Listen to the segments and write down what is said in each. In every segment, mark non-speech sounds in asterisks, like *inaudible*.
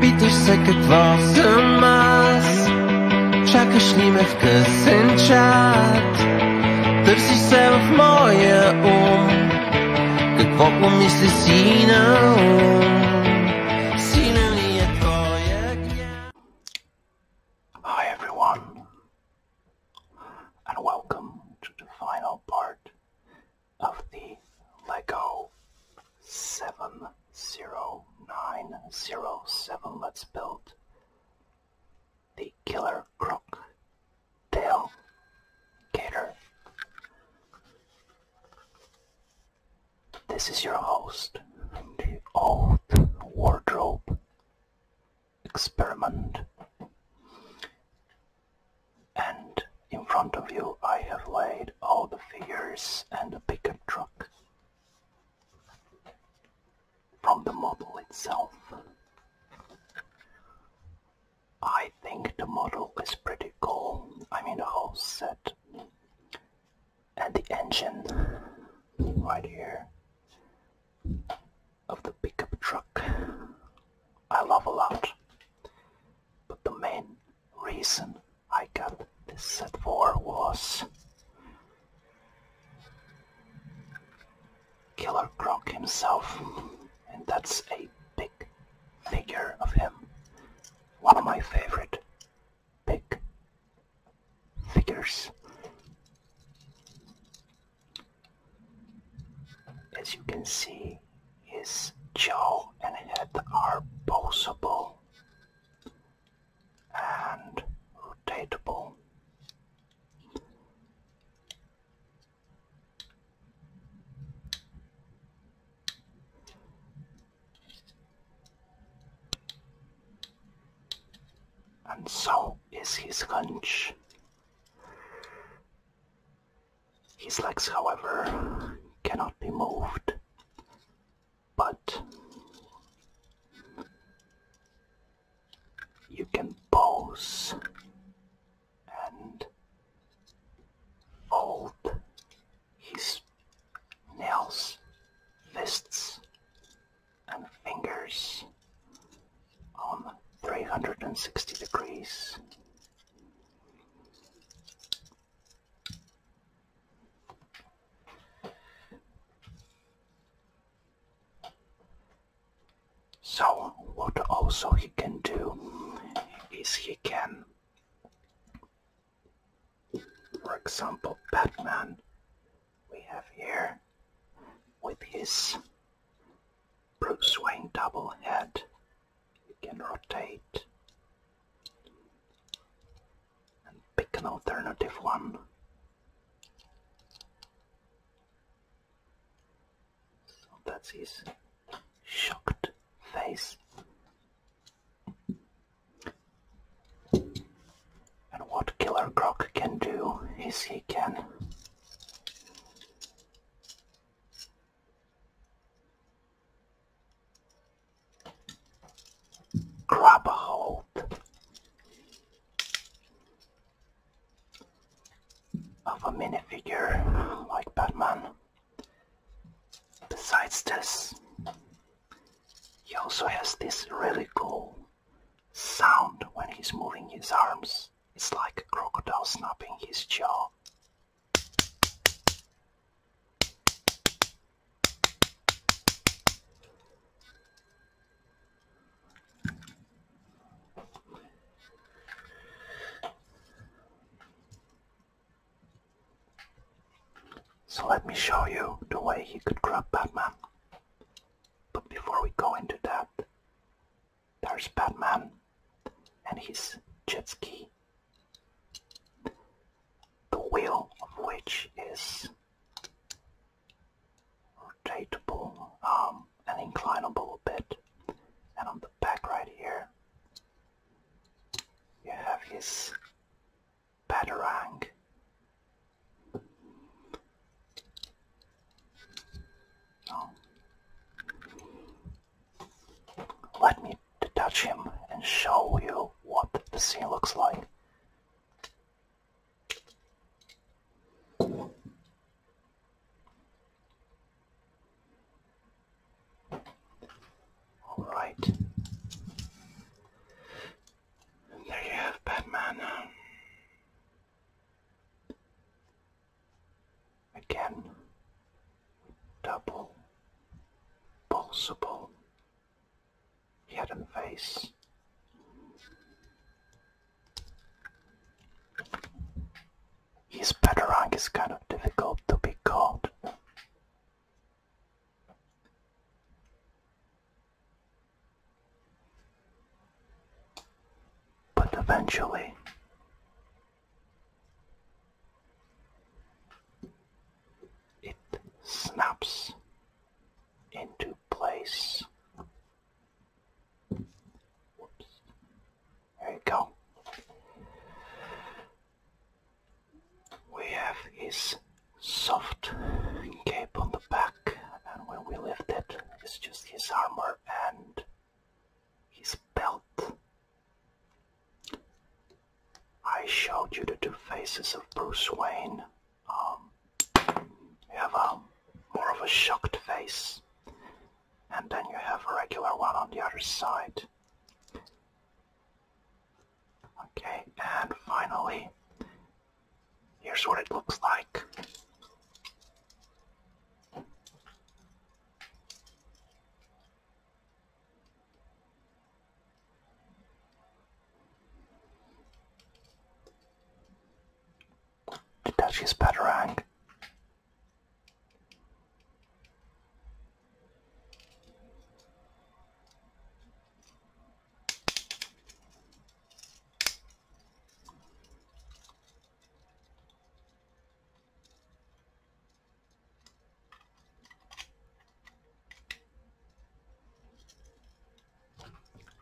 Bitterseket vasamaz Чакаш Чакашниме в късен чат Търсиш се в моя ум Какво помисли си на ум Сина ли е твоя Hi everyone and welcome to the final part of the Lego 70907 let's build the Killer Crook Tail Gator. This is your host, the old wardrobe experiment. And in front of you I have laid all the figures and the pickup truck. From the model itself. I think the model is pretty cool. I mean the whole set. And the engine right here of the pickup truck. I love a lot. But the main reason I got this set for was Killer Croc himself, and that's a big figure of him. One of my favorite big figures. As you can see, his jaw and head are bossable and rotatable. And so is his hunch. His legs, however, cannot be moved, but you can pose and fold his nails, fists and fingers on 360 degrees so what also he can do is he can, for example, Batman we have here with his Bruce Wayne double head you can rotate and pick an alternative one. So that's his shocked face. And what Killer Croc can do is he can Grab a hold. Of a minifigure like Batman. Besides this, he also has this really cool sound when he's moving his arms. It's like a crocodile snapping his jaw. So let me show you the way he could grab Batman. But before we go into that, there's Batman and his jet ski, the wheel of which is rotatable um, and inclinable a bit. And on the back right here, you have his batarang. Oh. Let me detach him and show you what the scene looks like. Alright. There you have Batman again double pulsable head and face. His Batarang is kind of difficult to be caught. But eventually it snaps into place. There you go. We have his soft cape on the back and when we lift it it's just his armor and his belt. I showed you the two faces of Bruce Wayne. Um, you have a um, more of a shocked face, and then you have a regular one on the other side. Okay, and finally, here's what it looks like. The Duchess Batarang.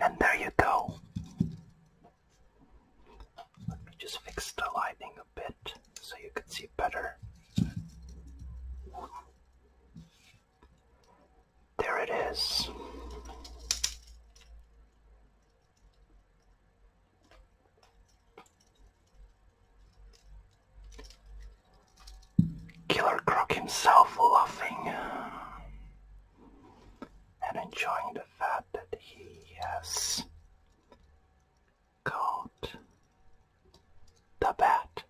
And there you go. Let me just fix the lighting a bit so you can see better. There it is. Killer Croc himself laughing and enjoying the fact that he has caught the bat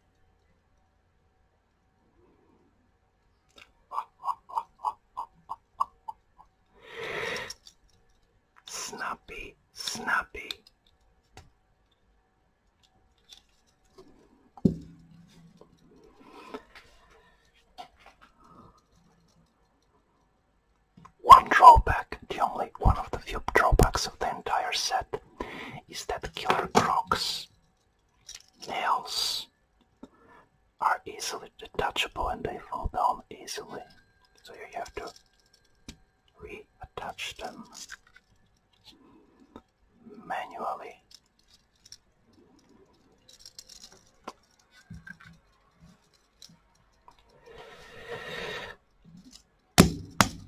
snappy, snappy. One drawback, the only one of the few drawbacks of the entire set, is that Killer Croc's nails are easily detachable and they fall down easily. So you have to reattach them manually.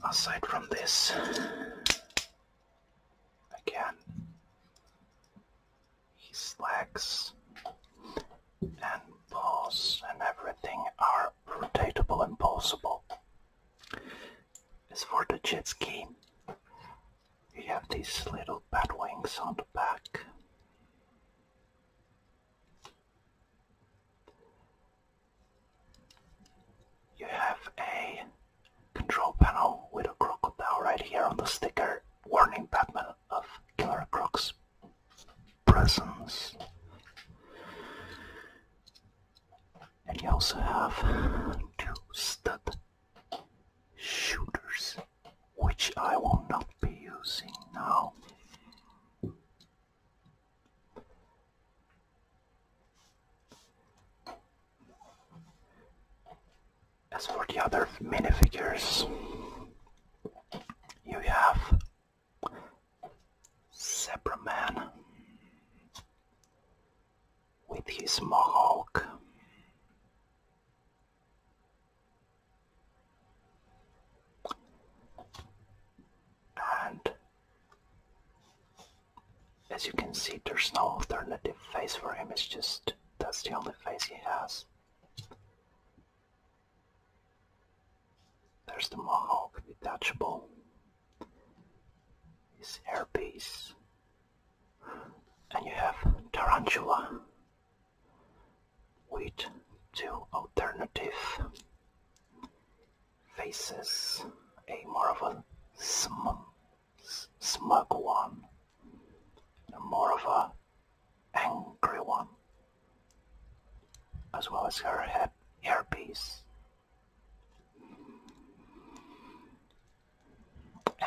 Aside from this, again, his legs and balls and everything are rotatable and possible. As for the jet ski, you have these little bat wings on the back. You have a control panel with a crocodile right here on the sticker warning Batman of Darkrok's presence. And you also have two stud shooters, which I will not be using now. As for the other minifigures, you have Zebra Man with his mohawk. And as you can see, there's no alternative face for him, it's just that's the only face he has. There's the Mohawk, detachable. His hairpiece. And you have Tarantula with two alternative faces, a more of a smug, one, and more of a angry one, as well as her head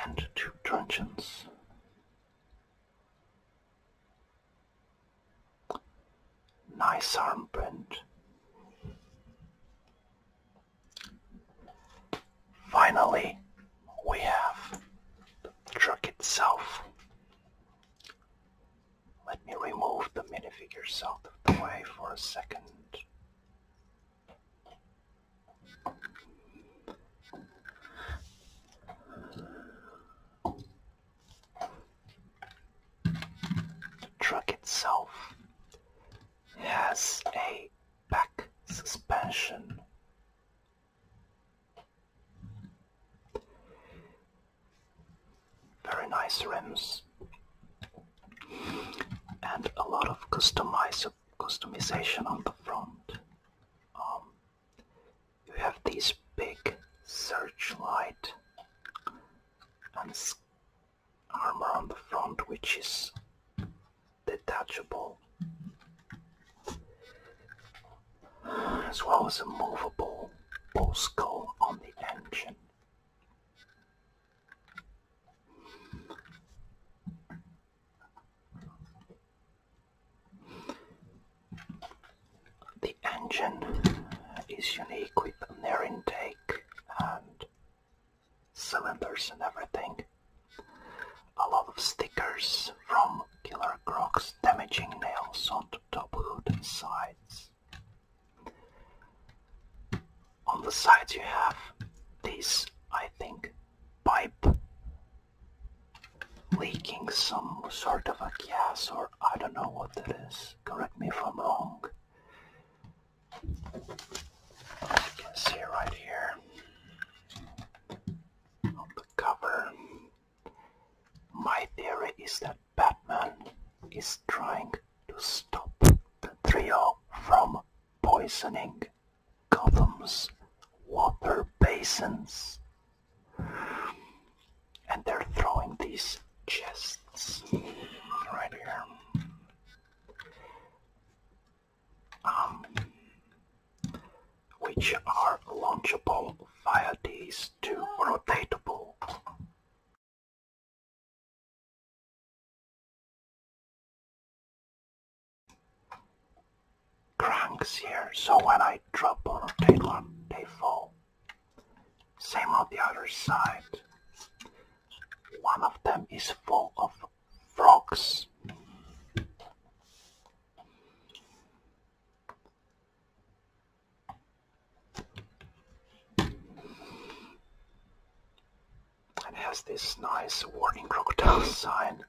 And two truncheons. Nice armprint. Finally, we have the truck itself. Let me remove the minifigure out of the way for a second. The truck itself has a back suspension very nice rims and a lot of customize customization on the front. Um, you have these big searchlight and armor on the front which is detachable as well as a movable bull skull on the engine. The engine is unique with an air intake and cylinders and everything. A lot of stickers from Killer Croc's damaging nails onto top hood and sides. On the sides you have this, I think, pipe leaking some sort of a gas or I don't know what that is. Correct me if I'm wrong. you can see right here on the cover my theory is that Batman is trying to stop the trio from poisoning Gotham's water basins. And they're throwing these chests right here. Um, which are launchable via these two rotatable cranks here, so when I drop on of them, they fall. Same on the other side. One of them is full of frogs. And has this nice warning crocodile *laughs* sign.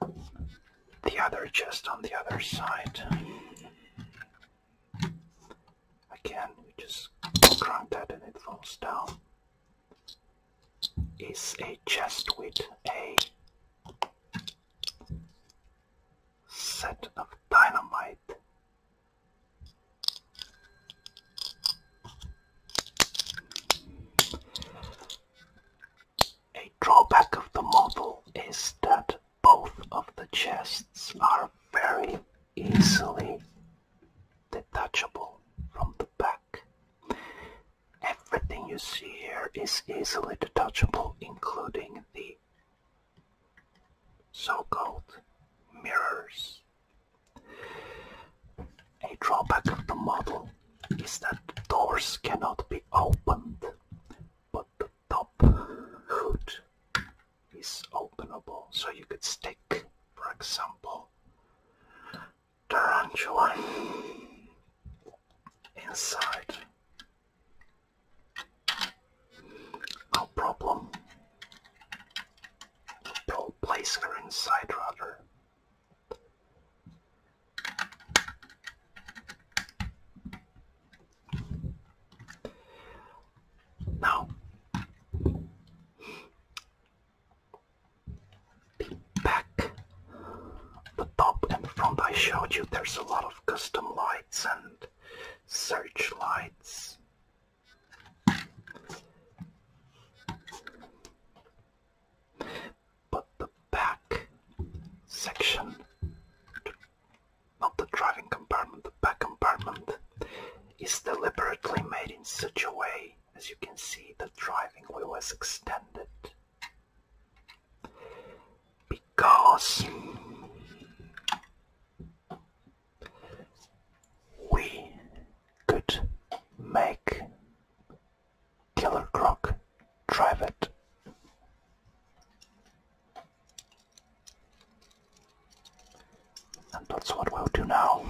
The other just on the other side. Again, you just crank that and it falls down. Is a chest with a set of dynamite. A drawback of the model is that both of the chests are very easily detachable from the back. Everything you see here is easily detachable, including the so-called mirrors. A drawback of the model is that doors cannot be opened, but the top hood is openable, so you could stick, for example, tarantula inside no problem we'll place her inside rather now the back, the top and front I showed you, there's a lot of custom lights and search lights. But the back section, not the driving compartment, the back compartment is deliberately made in such a way, as you can see, the driving wheel is extended because we could make Killer Croc drive it. And that's what we'll do now.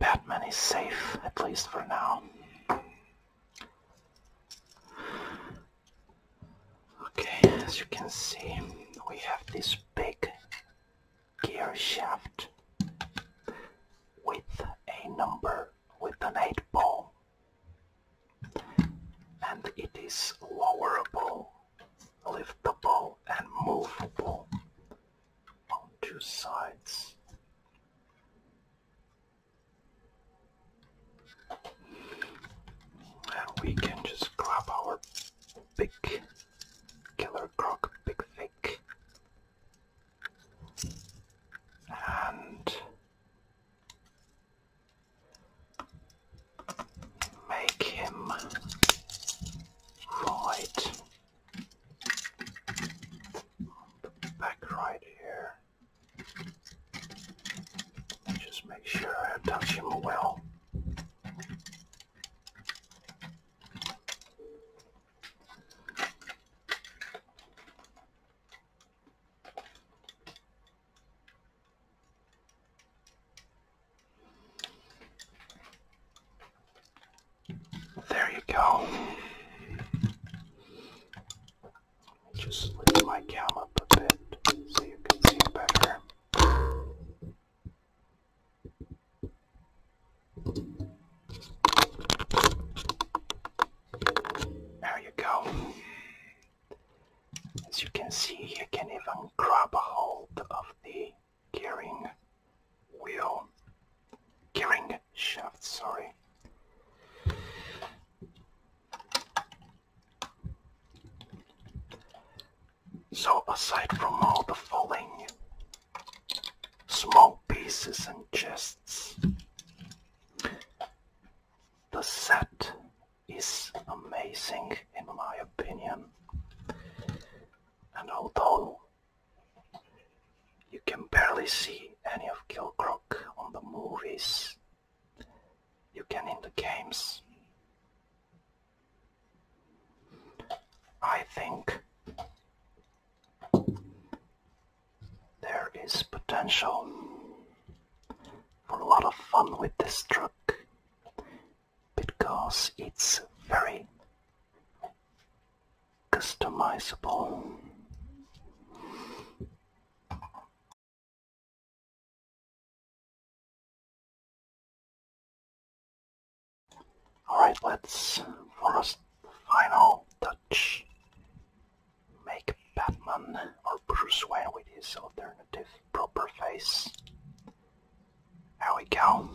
Batman is safe, at least for now. Okay, as you can see, we have this big gear shaft with a number with an 8 ball and it is lowerable, liftable and movable on two sides. And we can just grab our big killer croc, big thick and make him right back right here. just make sure I touch him well. There you go. Just lift my cam up a bit so you can see better. There you go. As you can see, you can even grab a hold of the gearing wheel, gearing shaft, sorry. So aside from all the falling small pieces and chests. The set is amazing in my opinion. And although you can barely see any of Kill Kilcrook on the movies, you can in the games. I think there is potential for a lot of fun with this truck because it's very customizable. Alright, let's, for a final touch, make Batman or Bruce Wayne with his alternative proper face. There we go.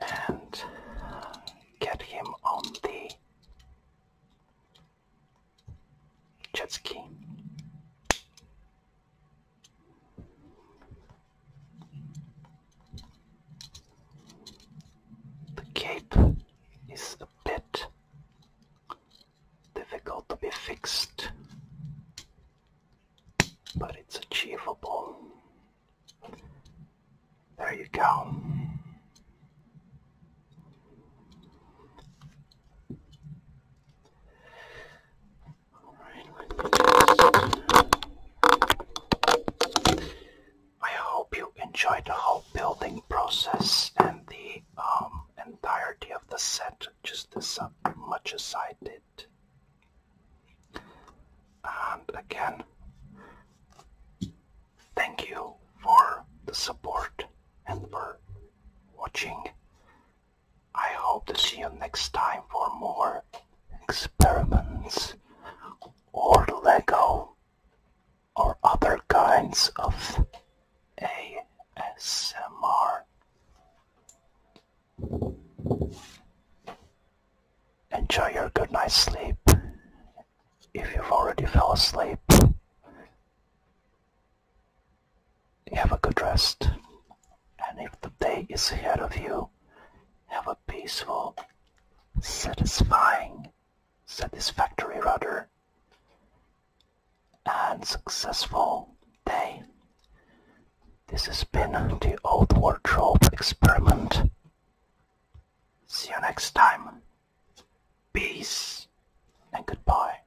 And get him on the jet ski. The cape is a bit difficult to be fixed, but it's achievable. There you go. I hope you enjoyed the whole building process and the um, entirety of the set just as much as I did. And again, thank you for the support and for watching I hope to see you next time for more experiments or Lego or other kinds of ASMR. Enjoy your good night's sleep if you've already fell asleep have a good rest. And if the day is ahead of you, have a peaceful, satisfying, satisfactory rudder, and successful day. This has been the Old Wardrobe Experiment. See you next time. Peace and goodbye.